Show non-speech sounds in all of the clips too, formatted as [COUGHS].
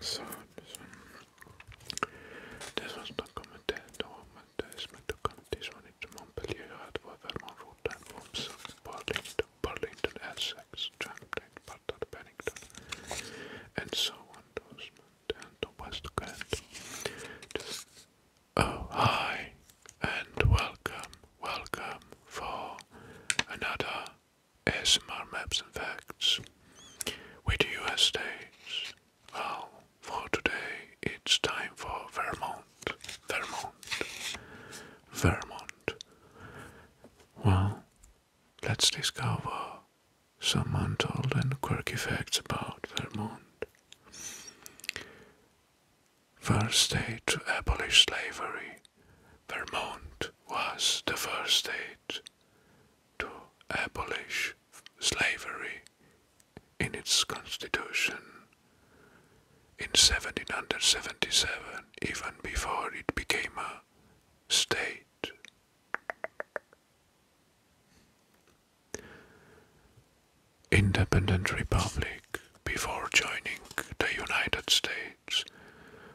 So, this one. This one's not commented, or it's meant to comment. This one into Montpellier, Radford, Vermont, Rotten, Burlington, Burlington, Essex, Champlain, Barton, and so on. Those and to West Kent. oh, hi, and welcome, welcome for another SMR maps and facts with the US states. Well, for today it's time for Vermont. Vermont. Vermont. Well, let's discover some untold and quirky facts about Vermont. First state to abolish slavery, Vermont was the first state to abolish slavery in its constitution. In 1777, even before it became a state. Independent Republic before joining the United States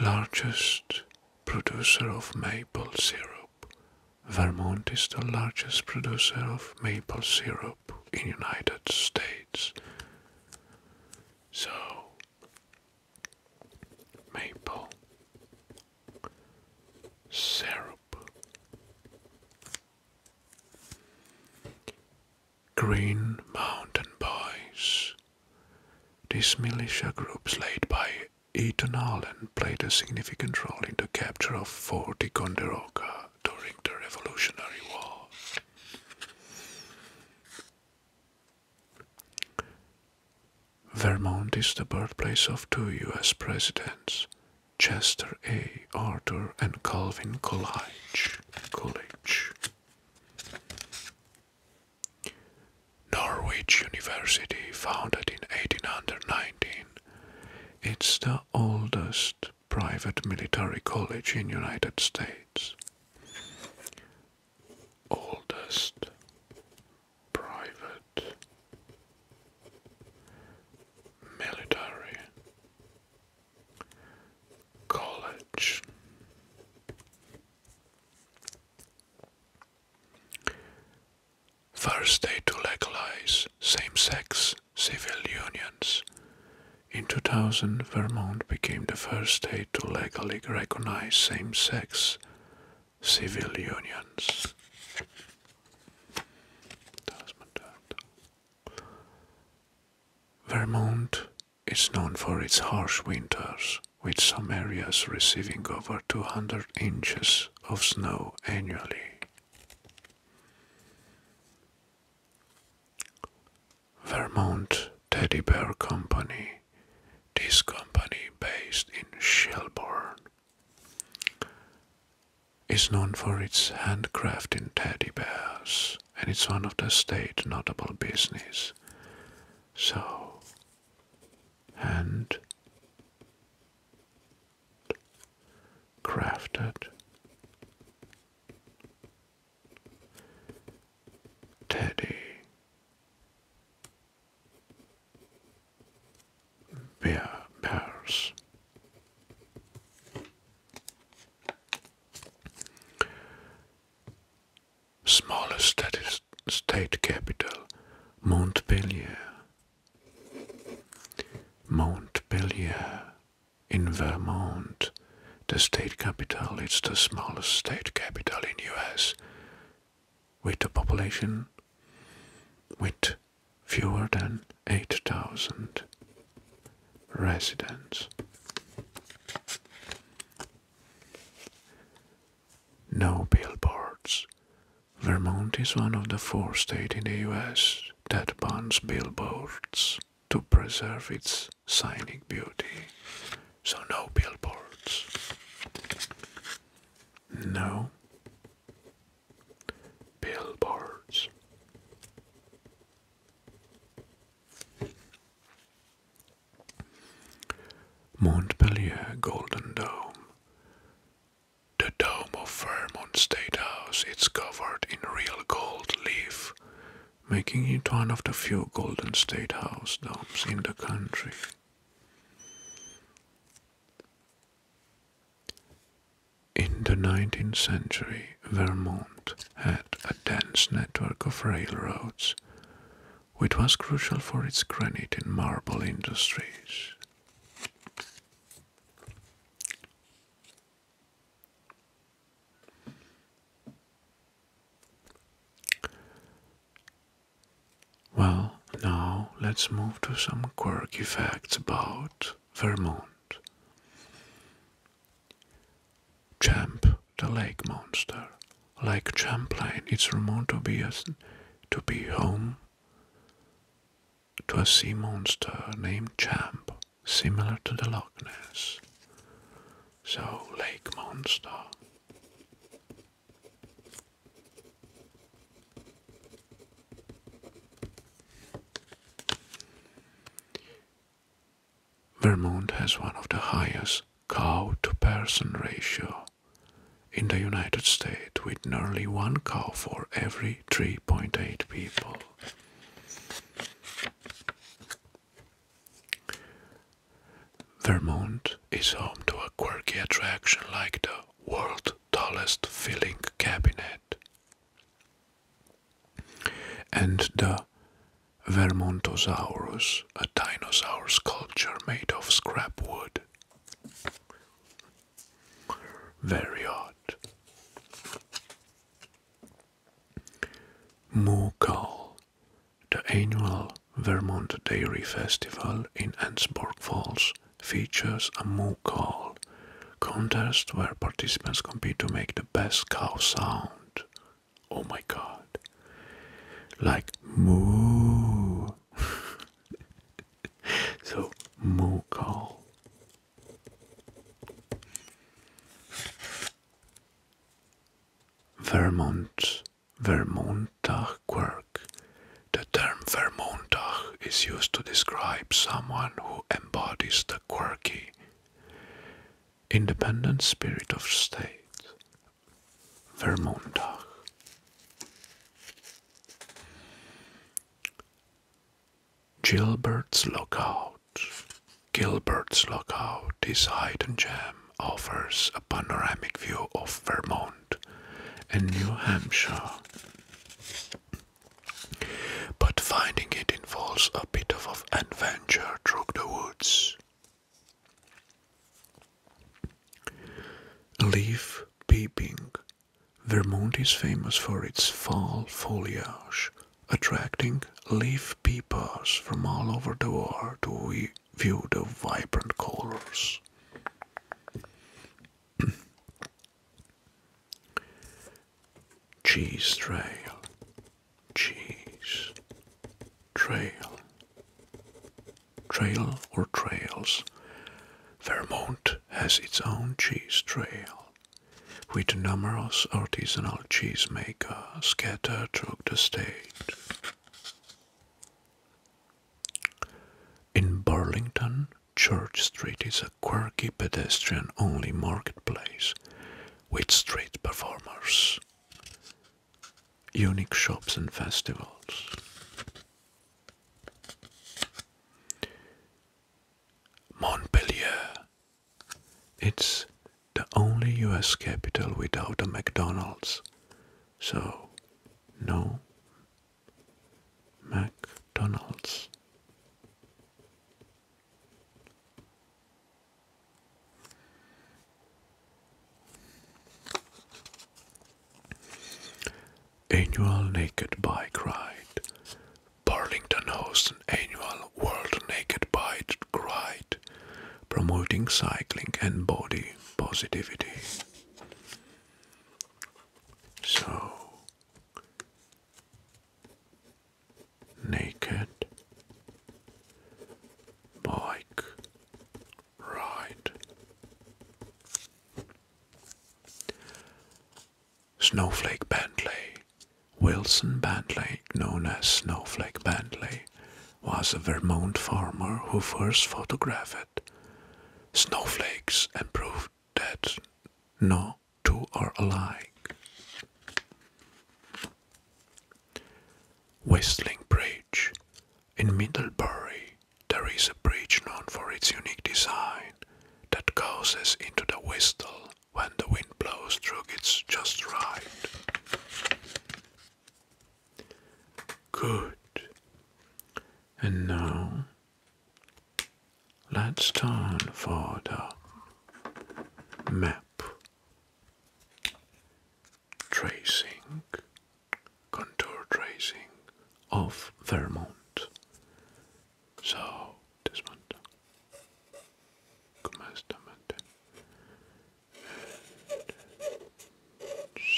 Largest producer of maple syrup. Vermont is the largest producer of maple syrup in United States. So maple syrup Green Mountain Boys. These militia groups led by Eton Allen played a significant role in the capture of Fort Ticonderoga during the Revolutionary War. Vermont is the birthplace of two U.S. presidents, Chester A. Arthur and Calvin Coolidge. Coolidge. Norwich University, founded in 1819, it's the oldest private military college in United States. Oldest private military College. state to legalize same sex civil unions. In 2000, Vermont became the first state to legally recognize same sex civil unions. Vermont is known for its harsh winters, with some areas receiving over 200 inches of snow annually. Vermont Teddy Bear Company. This company, based in Shelburne, is known for its handcrafted teddy bears and it's one of the state notable business. So, hand teddy bear bears Smallest state capital, Montpelier. Montpelier, in Vermont, the state capital. It's the smallest state capital in US with a population with fewer than 8,000 residents. No billboards. Vermont is one of the four states in the US that bans billboards to preserve its scenic beauty. So, no billboards. No billboards. Montpellier Golden Dome. The dome of Vermont State House is covered in real gold leaf, making it one of the few Golden State House domes in the country. In the 19th century, Vermont had a dense network of railroads, which was crucial for its granite and marble industries. Well, now let's move to some quirky facts about Vermont. Champ, the lake monster. Like Champlain, it's rumored to be, to be home to a sea monster named Champ, similar to the Loch Ness. So, lake monster. Vermont has one of the highest cow to person ratio in the United States, with nearly one cow for every 3.8 people. Vermont is home to a quirky attraction like the world's tallest filling cabinet, and the Vermontosaurus, a dinosaur sculpture made of scrap wood. Very odd. Mukal, the annual Vermont Dairy Festival in Annsburg Falls, features a moo call contest where participants compete to make the best cow sound. Oh my god. Like moo. [LAUGHS] so moo call. Vermont Vermontach quirk the term Vermontach is used to describe someone who embodies the quirky, independent spirit of state. Vermontach. Gilbert's Lookout. Gilbert's Lookout, this hidden gem, offers a panoramic view of Vermont and New Hampshire but finding it involves a bit of adventure through the woods. Leaf peeping. Vermont is famous for its fall foliage, attracting leaf peepers from all over the world to view the vibrant colors. [CLEARS THROAT] cheese trail, cheese trail, trail or trails. Vermont has its own cheese trail, with numerous artisanal cheesemakers scattered throughout the state. In Burlington, Church Street is a quirky pedestrian only marketplace with street performers, unique shops, and festivals. montpelier It's the only US capital without a McDonald's, so no McDonald's Annual Naked Bike Ride Burlington hosts an annual World Naked Bike Ride promoting cycling and body positivity. So naked bike ride. Snowflake Bentley. Wilson Bentley, known as Snowflake Bentley, was a Vermont farmer who first photographed snowflakes and proved that no two are alike. Whistling Bridge. In Middlebury, there is a bridge known for its unique design that goes into the whistle when the wind blows through it just right. Good. And now let's turn for the map tracing, contour tracing of Vermont. So this one. Come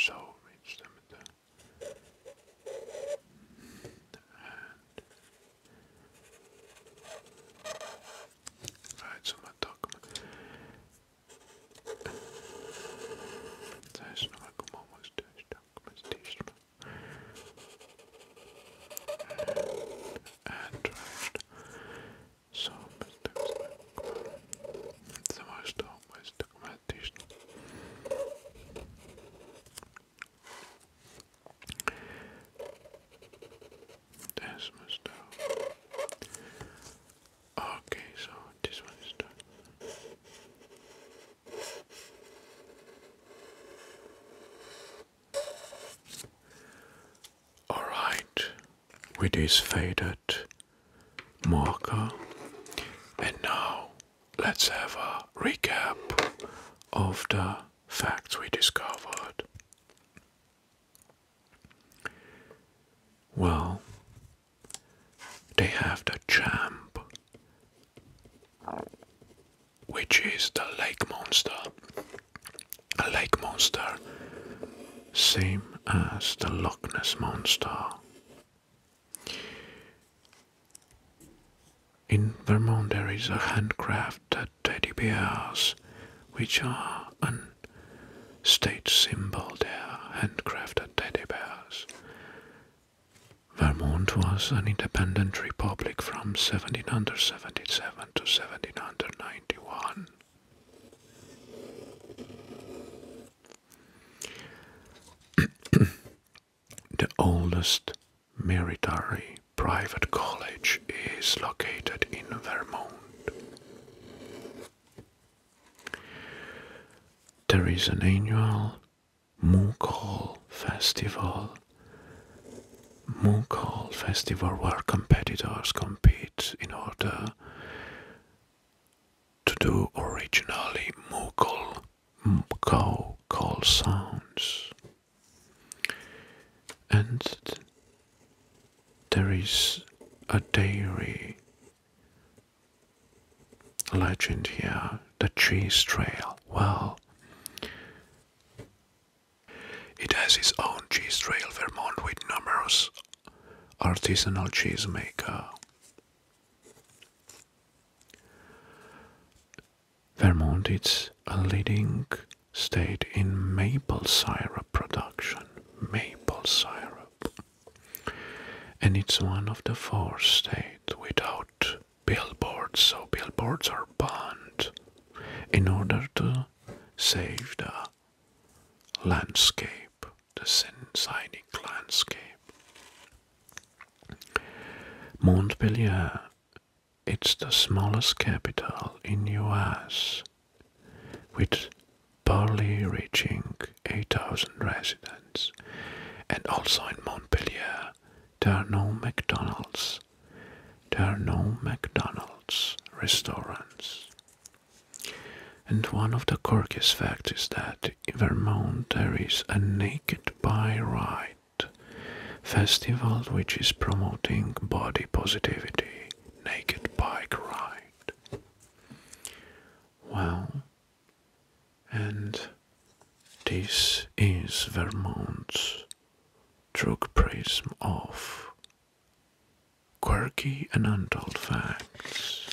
so reach them with the hand. Right, so my dog. Знаешь, на мою And, and Somos так знакомы. Сама что мы документично. That's my stuff. Okay, so this one All right, with this faded marker. And now let's have a recap of the facts we discovered. Well, they have the champ, which is the lake monster, a lake monster, same as the Loch Ness monster. In Vermont, there is a handcrafted teddy bears, which are a state symbol. There, handcrafted teddy bears. Vermont was an independent republic from 1777 to 1791. [COUGHS] the oldest military private college is located in Vermont. There is an annual Mukol Festival. Mukol Festival where competitors compete in to do originally Mughal cow call sounds. And there is a dairy legend here, the cheese trail. Well, it has its own cheese trail, Vermont, with numerous artisanal cheesemakers. Vermont is a leading state in maple syrup production. Maple syrup. And it's one of the four states without billboards, so billboards are banned in order to saved a landscape, the Sensinic landscape. Montpellier, it's the smallest capital in US, with barely reaching 8,000 residents. And also in Montpellier, there are no McDonald's there are no McDonald's restaurants. And one of the quirkiest facts is that in Vermont there is a Naked bike ride festival which is promoting body positivity. Naked bike ride. Well, and this is Vermont's drug prism off. quirky and untold facts.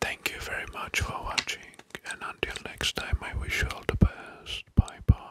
Thank you very much for watching, and until next time, I wish you all the best. Bye bye.